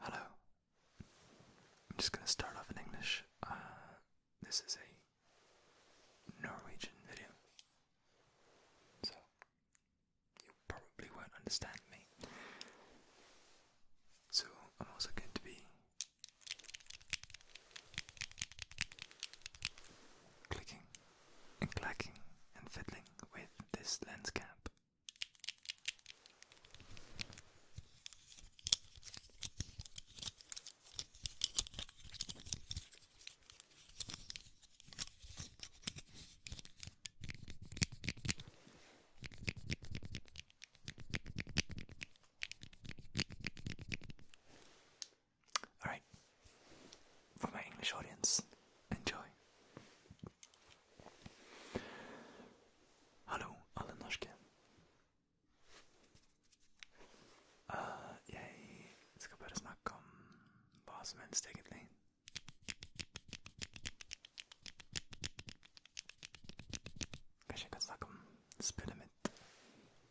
Hello. I'm just going to start off in English. Uh, this is a Norwegian video, so you probably won't understand me. So, I'm also going to be Clicking and clacking and fiddling with this lens cap. Alright, for my English audience, enjoy. Hallo, alle Noschke. Uh, jeg skal bare snakke om hva som helst, egentlig. Kanskje jeg kan snakke om spillet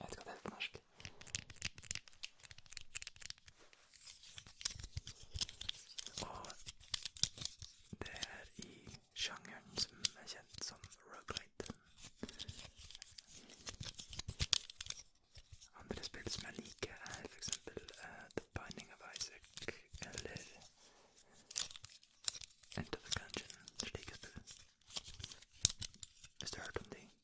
Jag ska ta ut norsk. i genren som er som roguelite. Andra spel som jag liker er eh, The Binding of Isaac eller Enter the Gungeon. Slike spel. Hvis du har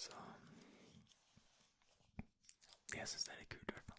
Så Jeg syns det er litt kult, i hvert fall.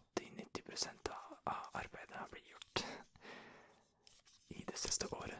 80-90 the arbeidet har blitt gjort i det siste året.